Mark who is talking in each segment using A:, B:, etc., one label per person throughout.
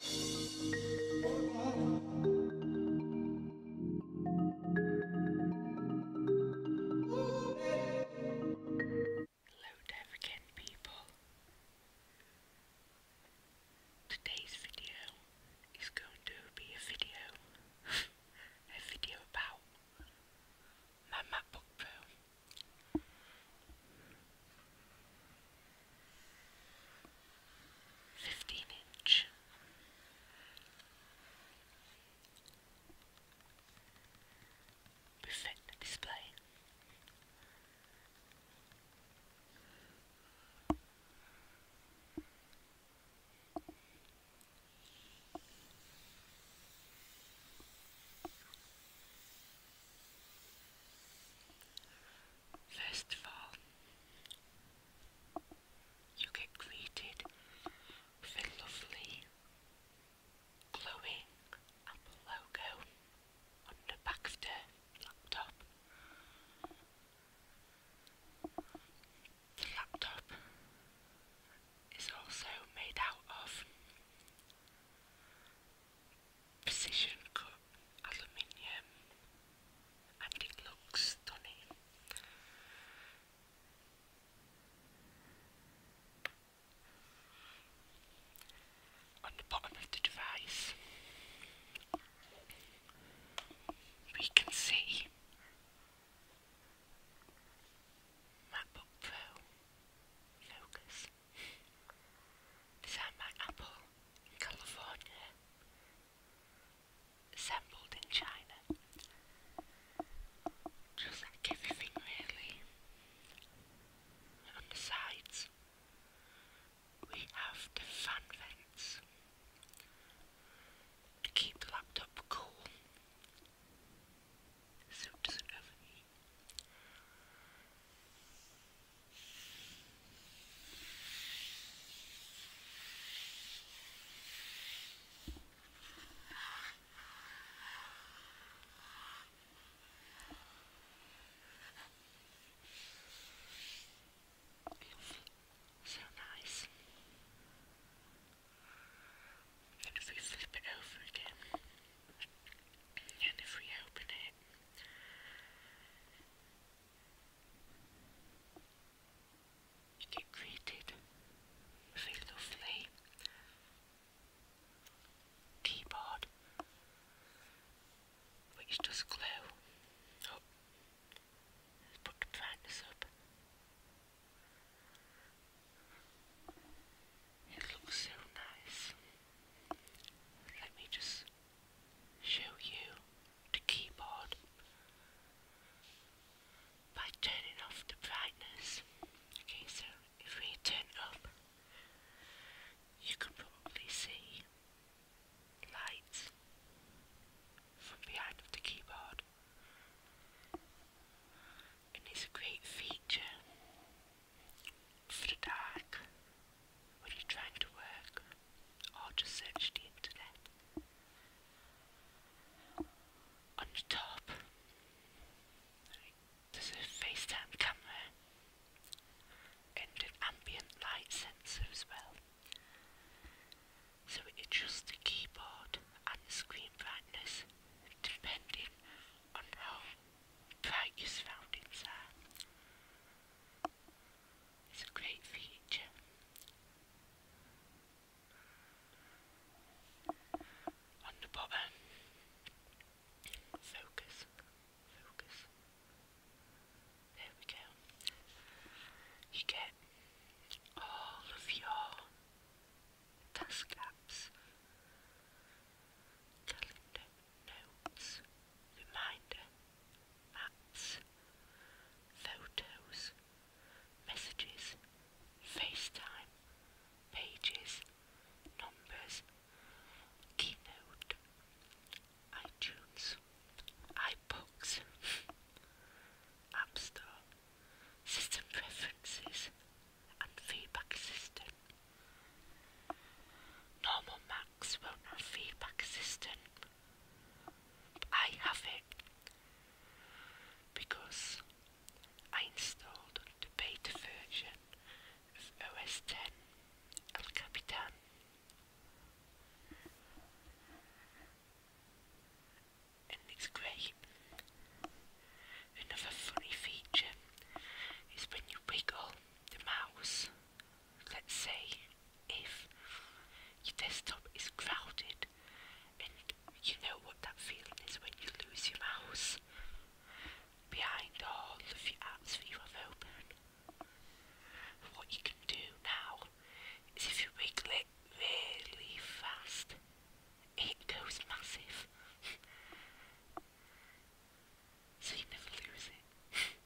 A: Hello there people. Today's video is going to be a video, a video about my MacBook Pro fifteen inch. Buffet display. First of all, you get greeted with a lovely glowing Apple logo on the back of the laptop. The laptop is also made out of precision cut aluminium and it looks stunning. On the bottom of the device, we can see MacBook Pro focus. Is that Apple California, assembled in China. Just everything, really. on the sides, we have the fan vents to keep the laptop cool so it doesn't overheat. So nice. And if we flip it over again, and if we open it, you get greeted with a lovely keyboard which does glow up, put the brightness up. It looks so nice. Let me just show you the keyboard by turning off the brightness. Okay, so if we turn up, you can probably see lights from behind of the keyboard. And it's a great feature for the dark were you trying to work or to search the internet? On top, there's a FaceTime camera and an ambient light sensor as well. So it adjusts the keyboard and the screen brightness depending on how bright your surroundings are. It's On the bottom, focus, focus. There we go. You get all of your task apps, notes, reminder, maps, photos, messages, FaceTime, pages, numbers, keynote, iTunes, iBooks, App Store, system preferences, and feedback system. Normal Macs won't have feedback system. I have it because I installed the beta version of OS 10 El Capitan. And it's great. Another funny feature is when you wiggle the mouse let's say if your desktop is crowded and you know what that feeling is when you lose your mouse behind all of your apps that you have open. What you can do now is if you wiggle it really fast, it goes massive. so you never lose it.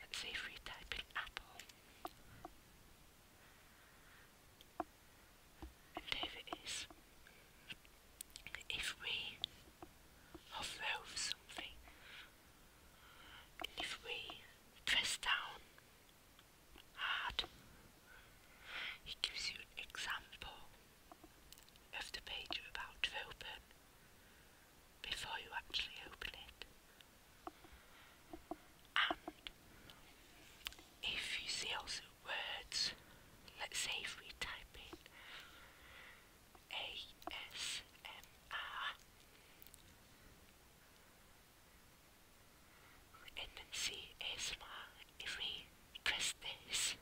A: Let's see if we type in apple. And there it is. If we hover over something, if we press down hard, it gives you an example of the page you're about to open before you actually open it. And if you see also words, let's say if we type in ASMR and then see ASMR, if we press this,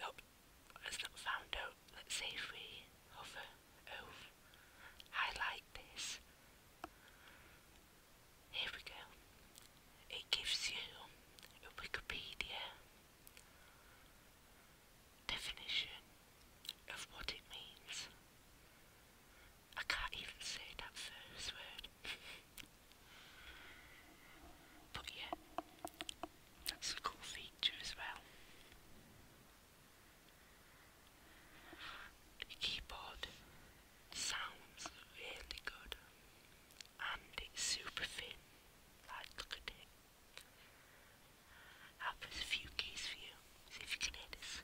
A: nope, has not found out, let's say if we hover over, oh, highlight this, here we go, it gives you a Wikipedia definition of what it means. I can't even say that first word. but yeah, that's a cool feature as well. keyboard sounds really good and it's super thin. Like, look at it. i a few keys for you, see if you can hear this.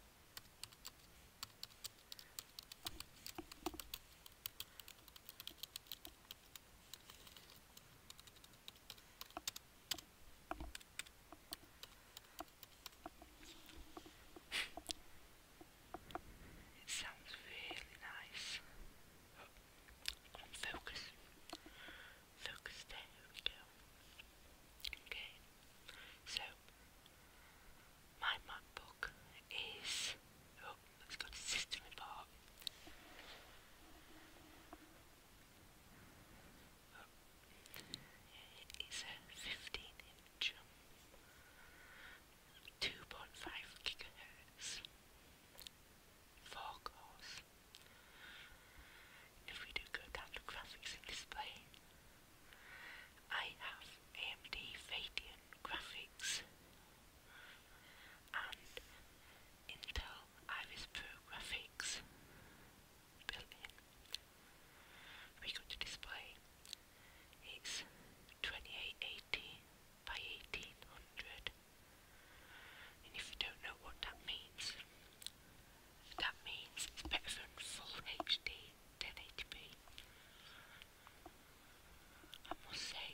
A: It sounds really nice. focus. Focus there, we go. Okay, so my map is. Oh, let's go to system report. It's a 15-inch, um, 2.5 gigahertz, four cores. If we do go down to graphics display, I have AMD Radeon graphics Intel Iris Pro graphics We got to display. It's 2880 by 1800. And if you don't know what that means, that means it's better than full HD 1080p. I must say,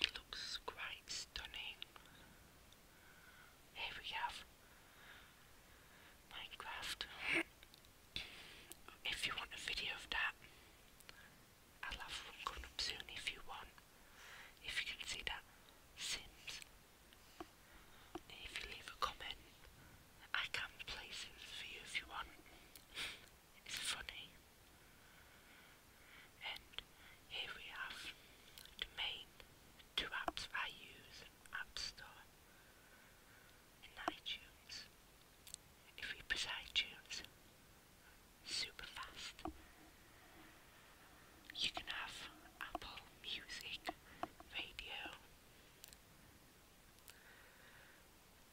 A: it looks quite stunning. Here we have Minecraft. if you want a video of that, I'll have one coming up soon if you want. If you can see that, Sims. If you leave a comment, I can play Sims for you if you want. It's funny. And here we have the main two apps I use, App Store and iTunes. If you press iTunes, super fast. You can have Apple Music, radio,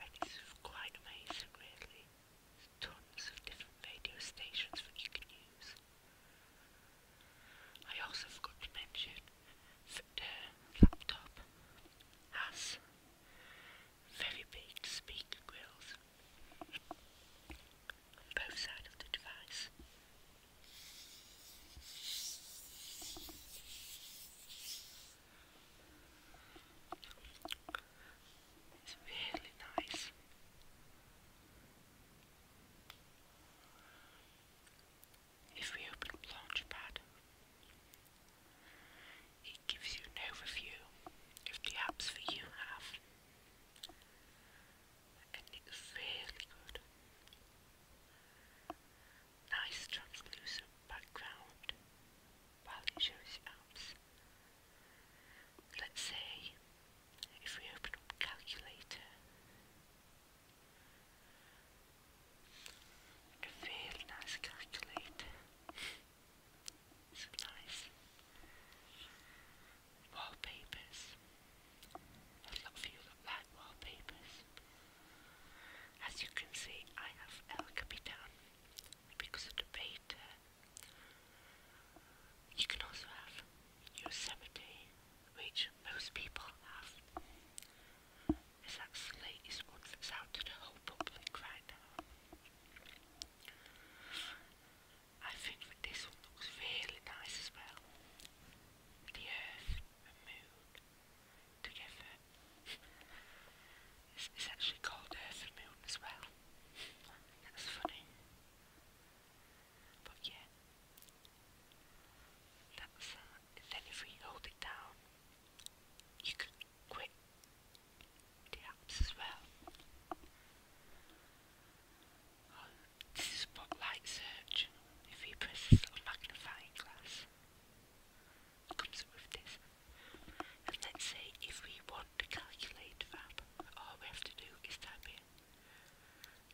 A: and it's quite amazing really tons of different radio stations that you can use. I also forgot to mention that the laptop has very big speaker grills on both sides of the device. It's really nice. If we open up Launchpad, it gives you an overview of the apps that you have, and it's really good. Nice translucent background while shows apps. Let's say if we open up calculator a really nice calculator some nice wallpapers a lot of you wallpapers as you can see I have El Capitan because of the beta you can also have Yosemite, which most people have. This actually is one out to the whole public right now. I think this one looks really nice as well. The earth and moon together. It's, it's actually called Earth and Moon as well. That's funny. But yeah, that's that. Uh, then if we hold it down, you can quit apps as well. Oh, this is spotlight search. If we press this little magnifying glass, comes up with this. And let say if we want to calculate that, all we have to do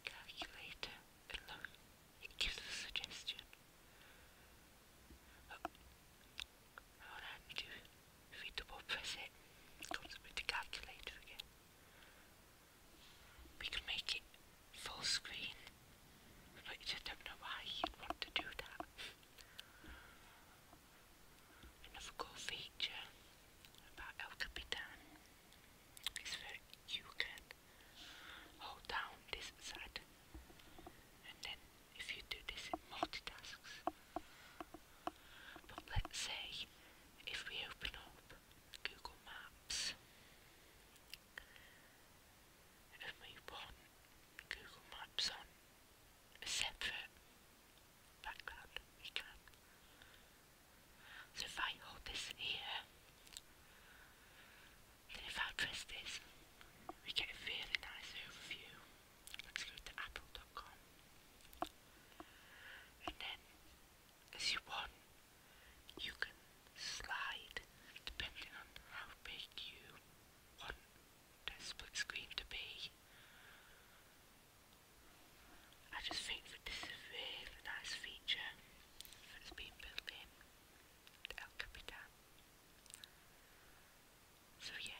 A: calculator it gives a suggestion. Oh, do we do? If we double press it, comes with the calculator again. We can make it full screen, but I just don't know why you want to do that. Another cool feature about El Capitan is that you can hold down this side and then if you do this multitasks. But let's say if we open up Google Maps and we want Google Maps on separate background So if I hold this here, then if I press this, we get a really nice overview. Let's go to apple.com. And then, as you want, you can slide depending on how big you want the split screen to be. I just think this is a really nice feature that's been built in to El Capitan. So yeah,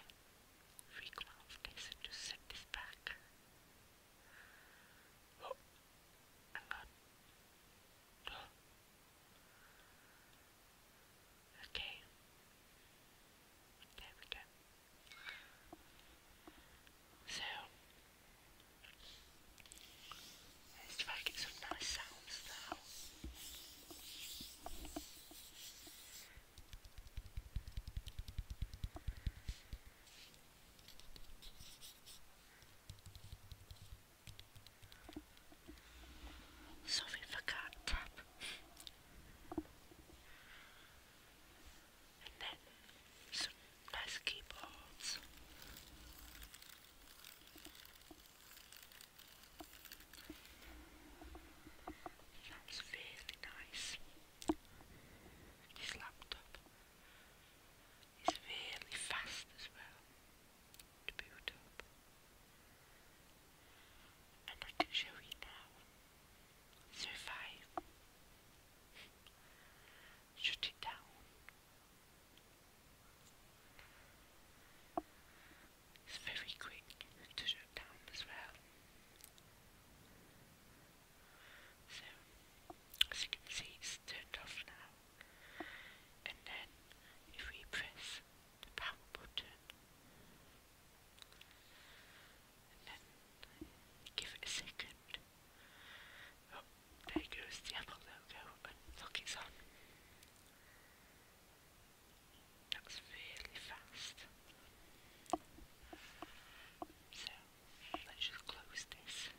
A: re-glance this and just set this back. Oh, hang on. Okay. There we go. So, let's try and get some nice sounds now. Something for cat and then some nice keyboards. That's really nice. This laptop is really fast as well to boot up. And I can show you now survive. Shut it down. It's very quick to shut down as well. So, as you can see, it's turned off now. And then, if we press the power button, give it a second. Oh, there goes the Apple logo and look, it's really fast. So, let's just close this.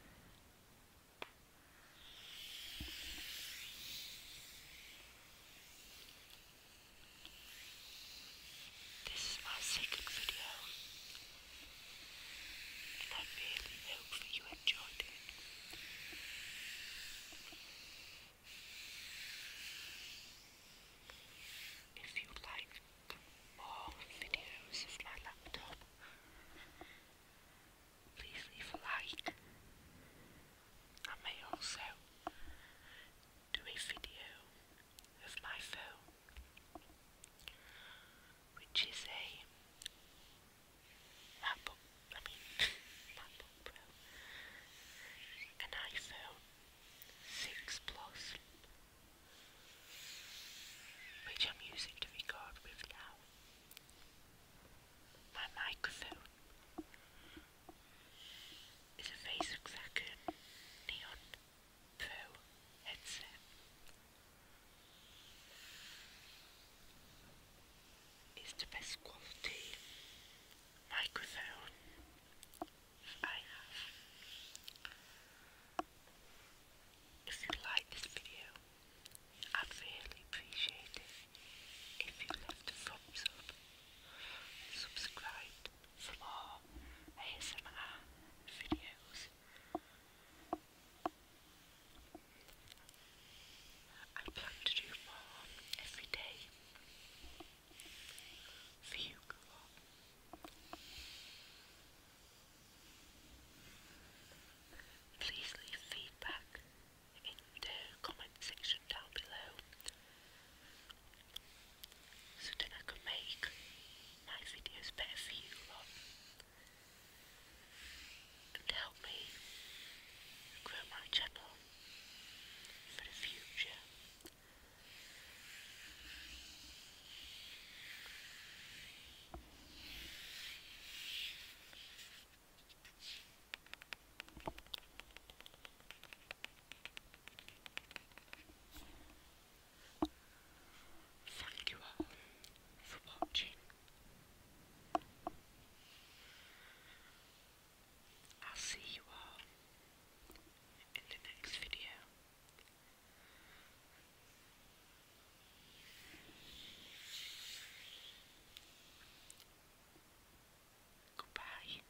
A: This is my second video, and I really hope that you enjoyed it. If you like more videos of my laptop, please leave a like. I may also do a video of my which is a MacBook, I mean MacBook Pro, an iPhone 6 Plus, which I'm using to record with now, my microphone is a face neon Pro headset. It's the best quality microphone I have. If you like this video, I'd really appreciate it if you left thumbs up, subscribed floor ASMR videos. I plan to do more every day for you Please leave feedback in the comment section down below so that I could make my videos better for you and help me grow my channel for the future. Thank you all for watching. I'll see you all in the next video. Goodbye.